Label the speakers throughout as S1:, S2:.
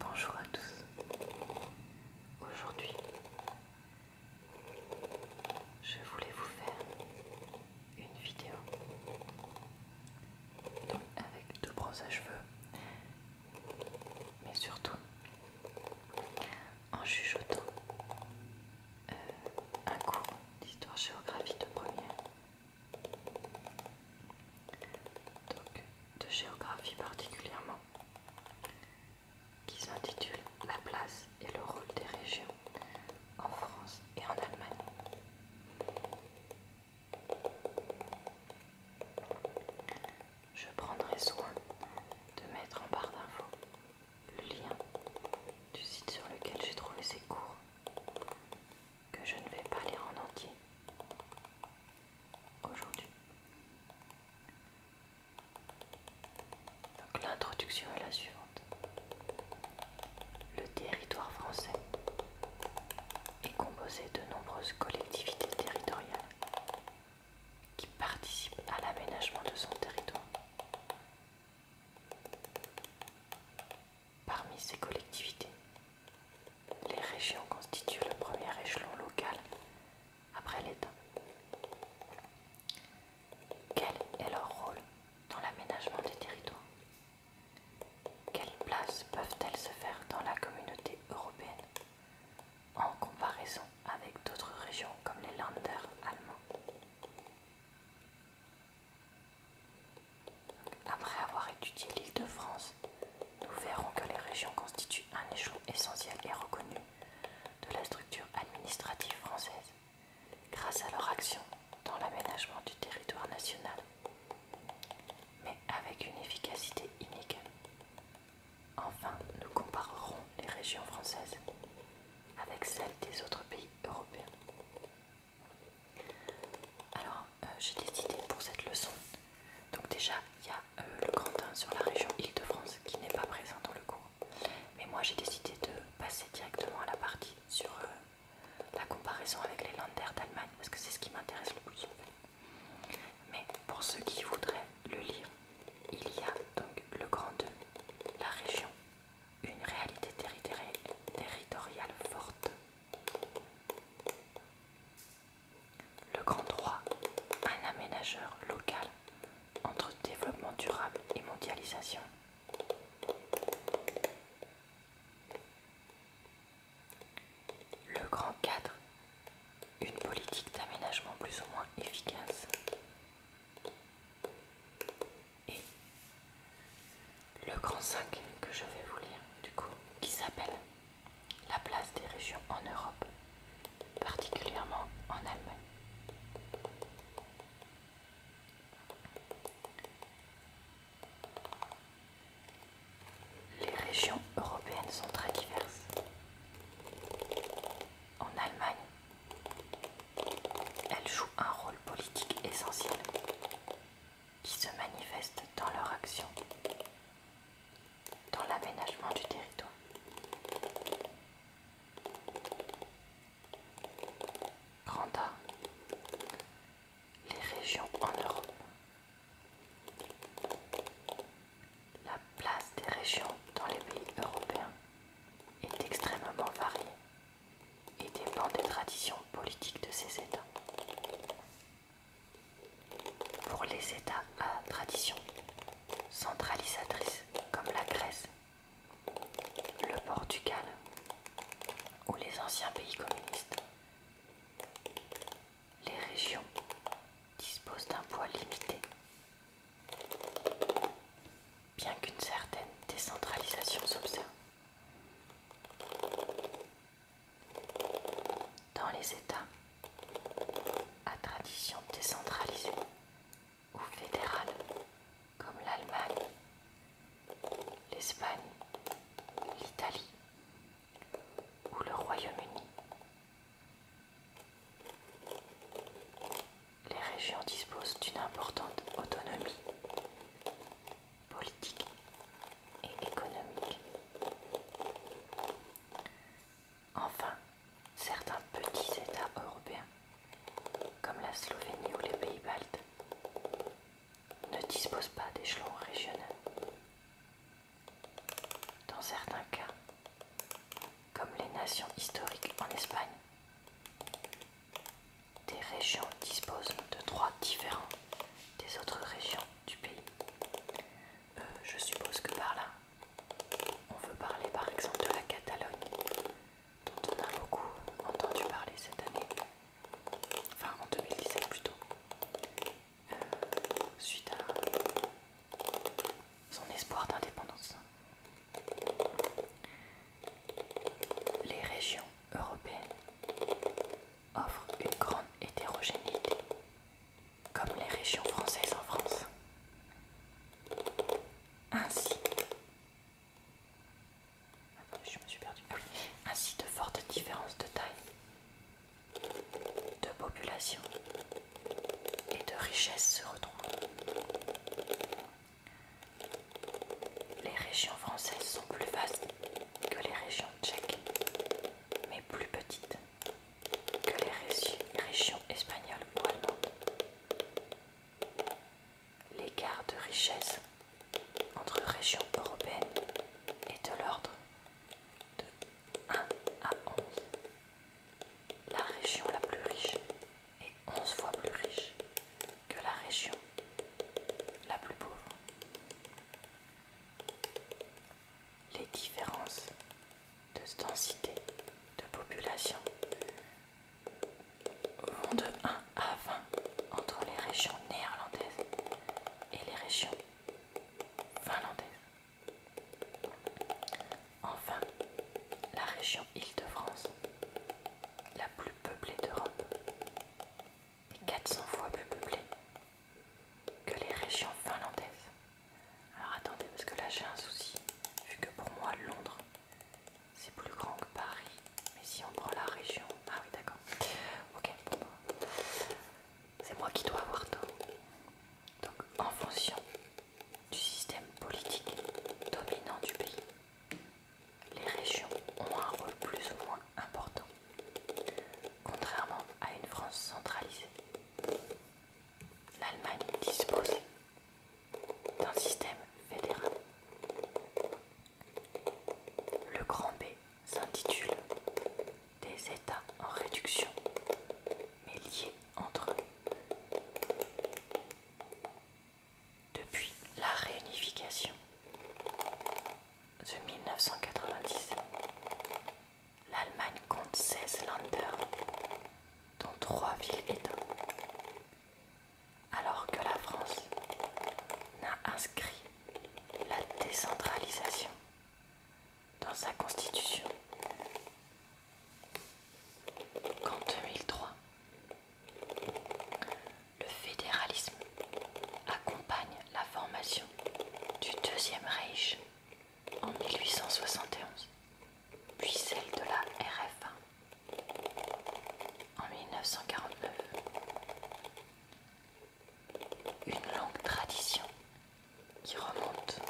S1: Bonjour à tous. Aujourd'hui, je voulais vous faire une vidéo avec deux brosses à cheveux, mais surtout en chuchotant euh, un cours d'histoire géographie de première de géographie particulièrement, qui s'intitule La place et le rôle des régions en France et en Allemagne. Je prendrai soin de mettre en barre d'infos le lien du site sur lequel j'ai trouvé ces cours que je ne vais pas lire en entier aujourd'hui. Donc l'introduction est la suivante. Le territoire français est composé de nombreuses collectivités territoriales qui participent à l'aménagement de son territoire. Parmi ces collectivités, les régions constituent le premier échelon local après l'État. Quel est leur rôle dans l'aménagement des territoires Quelle place peuvent-elles se faire dans la communauté européenne en comparaison avec d'autres régions comme les landers allemands après avoir étudié l'île de France, nous verrons que les régions constituent un échelon essentiel et reconnu de la structure administrative française, grâce à leur action dans l'aménagement du territoire national, mais avec une efficacité inégale. Enfin, nous comparerons les régions françaises avec celles des autres pays européens alors, euh, j'ai décidé pour cette leçon. Donc, déjà, il y a euh, le grand 1 sur la région Île-de-France qui n'est pas présent dans le cours. Mais moi, j'ai décidé de passer directement à la partie sur euh, la comparaison avec les landers d'Allemagne parce que c'est ce qui m'intéresse le plus. Mais pour ceux qui voudraient le lire, il y a donc le Grand 2, la région, une réalité territoriale forte le grand droit, un aménageur local entre développement durable et mondialisation. Le grand cadre, une politique d'aménagement plus ou moins efficace. Et le grand 5 que je vais vous lire, du coup, qui s'appelle La place des régions en Europe, particulièrement en Allemagne. Les régions européennes sont très diverses. En Allemagne, elles jouent un rôle politique essentiel qui se manifestent dans leur action, dans l'aménagement du territoire. Grand A. Les régions en Europe. La place des régions dans les pays européens est extrêmement variée et dépend des traditions politiques de ces États. Pour les États à tradition centralisatrice comme la Grèce, le Portugal ou les anciens pays communistes, les régions disposent d'un poids limité, bien qu'une certaine décentralisation s'observe. Dans les États à tradition décentralisée ou fédérale, comme l'Allemagne, l'Espagne, l'Italie ou le Royaume-Uni. Les régions disposent d'une importante autonomie politique et économique. Enfin, certains petits États européens, comme la Slovénie ou les Pays-Baltes, ne disposent pas d'échelon régional. Dans certains cas, comme les nations historiques en Espagne, des régions disposent de droits différents des autres régions du pays. Euh, je suppose que par là, on veut parler par exemple de la Catalogne, dont on a beaucoup entendu parler cette année, enfin en 2017 plutôt, euh, suite à son espoir d'indépendance. Les régions européennes offre une grande hétérogénéité, comme les régions françaises en France. Ainsi, ah Ainsi de fortes différences de taille, de population et de richesse se retrouvent. Les régions françaises sont plus vastes que les régions tchèques, mais plus petites que les régions espagnoles ou allemandes. L'écart de richesse entre régions européennes est de l'ordre de 1 à 11. La région la plus riche est 11 fois plus riche que la région la plus pauvre. Les différences de densité de population vont de 1 à 20 entre les régions néerlandaises et les régions finlandaises. Enfin, la région Île-de-France, la plus peuplée d'Europe, et 400 fois plus peuplée que les régions finlandaises. Alors attendez, parce que là j'ai un souci, vu que pour moi Londres c'est plus grand que Paris, mais si on prend la région. Ah oui, d'accord. Ok, pour c'est moi qui dois avoir tort. Donc en fonction du système politique dominant du pays, les régions ont un rôle plus ou moins important, contrairement à une France centralisée. L'Allemagne dispose d'un système fédéral. Le grand B s'intitule des États en réduction, mais liés entre eux. Depuis la réunification de 1990, l'Allemagne compte 16 Länder, dont 3 villes-États, alors que la France n'a inscrit la décentralisation dans sa constitution qu'en 2003. Le fédéralisme accompagne la formation du Deuxième Reich en 1871, puis celle de la RFA en 1949. Une longue tradition qui remonte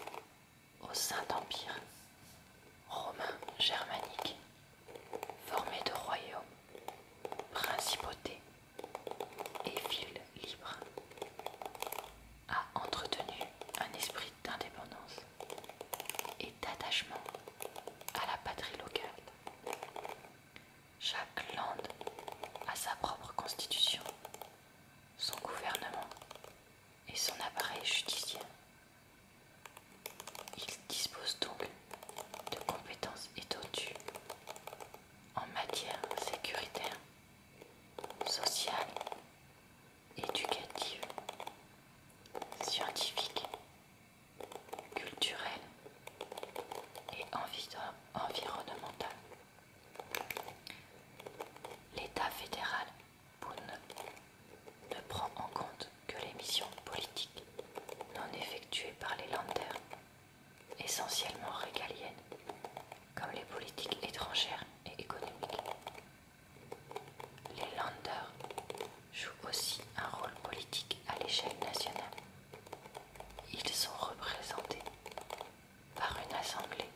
S1: au Saint-Empire romain germanique formé de royaumes, principautés et villes libres, a entretenu un esprit d'indépendance et d'attachement à la patrie locale. Chaque land a sa propre constitution, son gouvernement et son appareil judiciaire il dispose donc de compétences étendues en matière sécuritaire, sociale, éducative, scientifique, culturelle et environnementale. L'État fédéral ne prend en compte que les missions politiques non effectuées par les landers, essentiellement régaliennes, comme les politiques étrangères et économiques. Les Landers jouent aussi un rôle politique à l'échelle nationale. Ils sont représentés par une assemblée,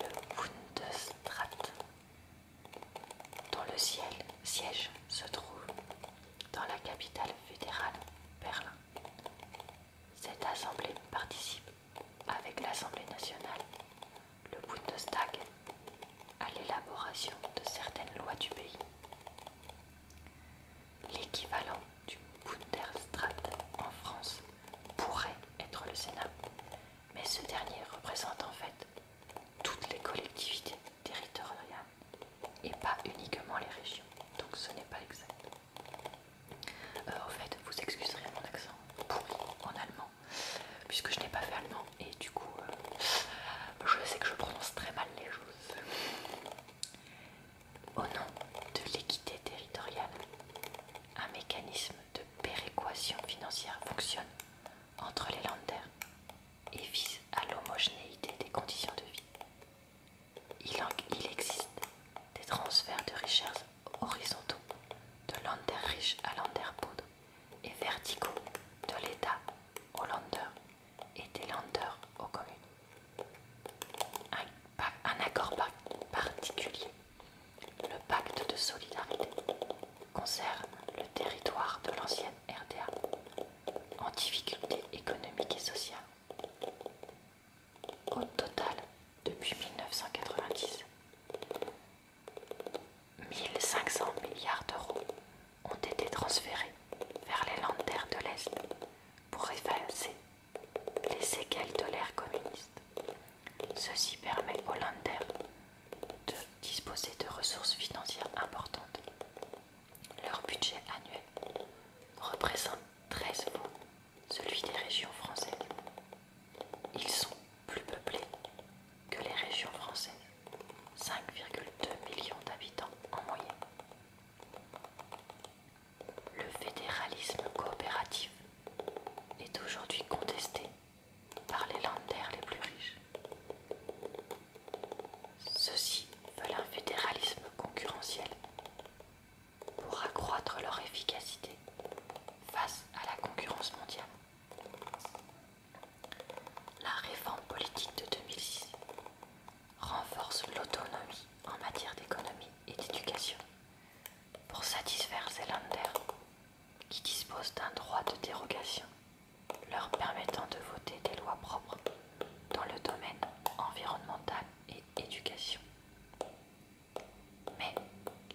S1: le Bundesrat, dont le siège se trouve dans la capitale fédérale, Berlin. Cette assemblée participe avec l'Assemblée nationale, le Bundestag, à l'élaboration de certaines lois du pays. L'équivalent du Bundestag en France pourrait être le Sénat, mais ce dernier représente en fait toutes les collectivités territoriales et pas uniquement les régions. Donc ce n'est pas exact. en euh, fait, vous excuserez mon accent pourri en allemand, puisque je n'ai pas fait allemand et du coup, euh, je sais que je prononce très mal les choses. Au nom de l'équité territoriale, un mécanisme de péréquation financière fonctionne entre les landers et vise à l'homogénéité des conditions de vie. Il, existe des transferts de richesses horizontaux de lander riches à lander poudre, et verticaux de l'État aux landeurs et des landers aux communes. Un, accord particulier, le pacte de solidarité, concerne le territoire de l'ancienne RDA en difficulté économique et sociale. Au total, depuis 1990, 1500 milliards d'euros ont été transférés vers les landers de l'Est pour effacer les séquelles de l'ère communiste. Ceci permet aux Landers de disposer de ressources financières importantes. Leur budget annuel représente 13 celui des régions françaises. Ils sont plus peuplés que les régions françaises, 5,2 millions d'habitants en moyenne. Le fédéralisme coopératif est aujourd'hui contesté par les landaires les plus riches. Ceux-ci veulent un fédéralisme concurrentiel pour accroître leur efficacité face à la concurrence mondiale. La réforme politique de 2006 renforce l'autonomie en matière d'économie et d'éducation pour satisfaire ces landers qui disposent d'un droit de dérogation leur permettant de voter des lois propres dans le domaine environnemental et éducation. Mais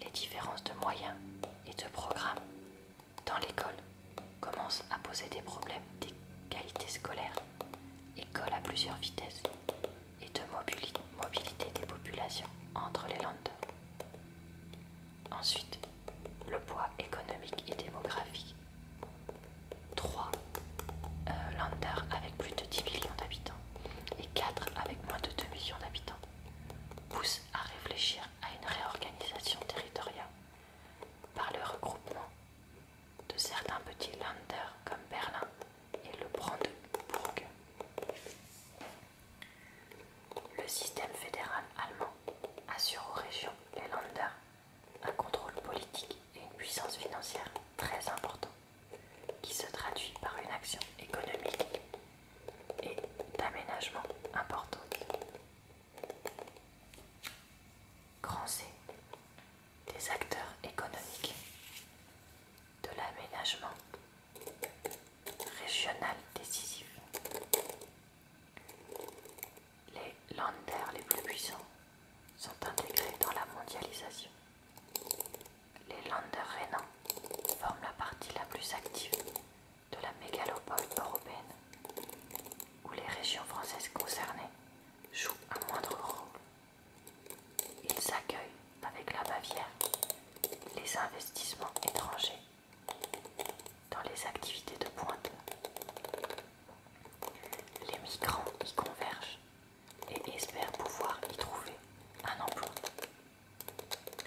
S1: les différences de moyens et de programmes dans l'école commencent à poser des problèmes d'égalité scolaire, école à plusieurs vitesses et de mobilité des populations entre les Landes. Ensuite, le poids économique et démographique. 3. Euh, Länder avec plus de 10 millions d'habitants et 4 avec moins de 2 millions d'habitants poussent à réfléchir à une réorganisation territoriale par le regroupement de certains petits Landers comme Berlin et le Brandebourg. Le système fédéral allemand assure aux régions, les landers un contrôle politique et une puissance financière très importante, qui se traduit par une action économique et d'aménagement importante. Grand C. Des acteurs économiques, de l'aménagement régional décisif, les landers les plus puissants sont intégrés dans la mondialisation. Les landers rhénans forment la partie la plus active de la mégalopole européenne, où les régions françaises concernées jouent un moindre rôle. Ils accueillent avec la Bavière les investissements étrangers dans les activités de pointe, les migrants y convergent et espèrent pouvoir y trouver un emploi.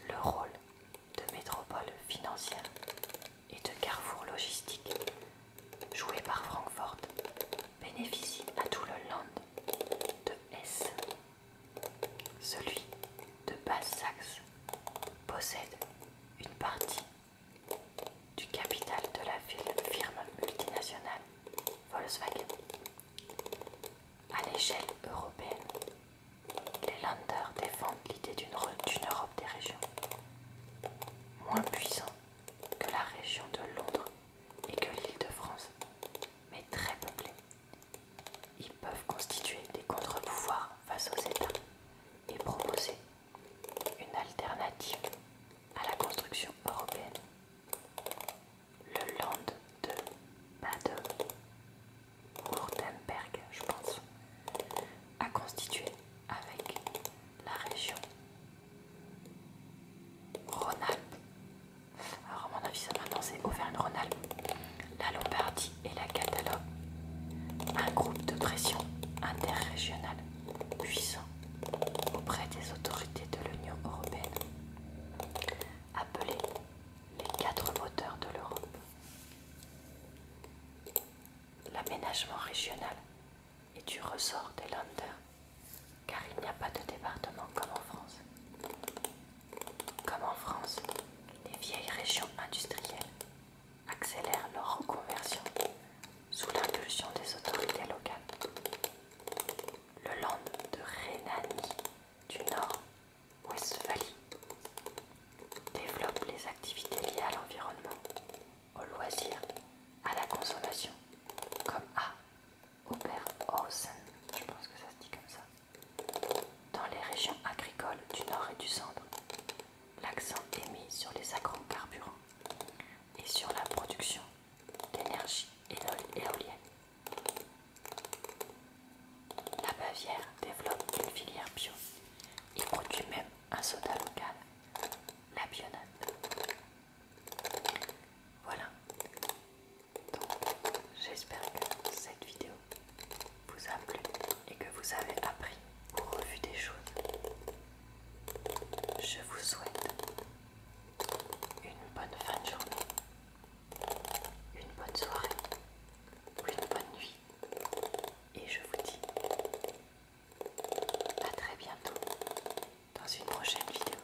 S1: Le rôle de métropole financière et de carrefour logistique joué par Francfort bénéficie à tout le land de Hesse. Celui de Basse-Saxe possède une partie du capital de la ville firme multinationale Volkswagen. À l'échelle européenne, les Landers défendent l'idée d'une Europe des régions, moins puissante que la région de Londres et que l'île de France, mais très peuplée ils peuvent constituer des contre-pouvoirs face aux États et proposer une alternative à la construction européenne. Le land de baden wurtemberg je pense, a constitué avec la région Rhône-Alpes. Alors à mon avis, ça maintenant c'est Auvergne-Rhône-Alpes, la Lombardie et la Catalogne, un groupe de pression interrégional puissant auprès des autorités de l'Union européenne, appelé les quatre moteurs de l'Europe. L'aménagement régional est du ressort des landers car il n'y a pas de département comme en France. Comme en France, les vieilles régions industrielles accélèrent leur reconversion sous l'impulsion des autorités locales. Le land de Rhénanie du Nord-Westphalie développe les activités liées à l'environnement, aux loisirs, à la consommation, comme à Oberhausen, je pense que ça se dit comme ça. Dans les régions agricoles du nord et du centre, l'accent est mis sur les agrocarburants et sur la production d'énergie éolienne. La Bavière développe une filière bio et produit même un soda local, la bionade. Voilà. Donc, j'espère que cette vidéo vous a plu et que vous avez appris ou revu des choses. Je vous souhaite une bonne fin de journée, une bonne soirée ou une bonne nuit et je vous dis à très bientôt dans une prochaine vidéo.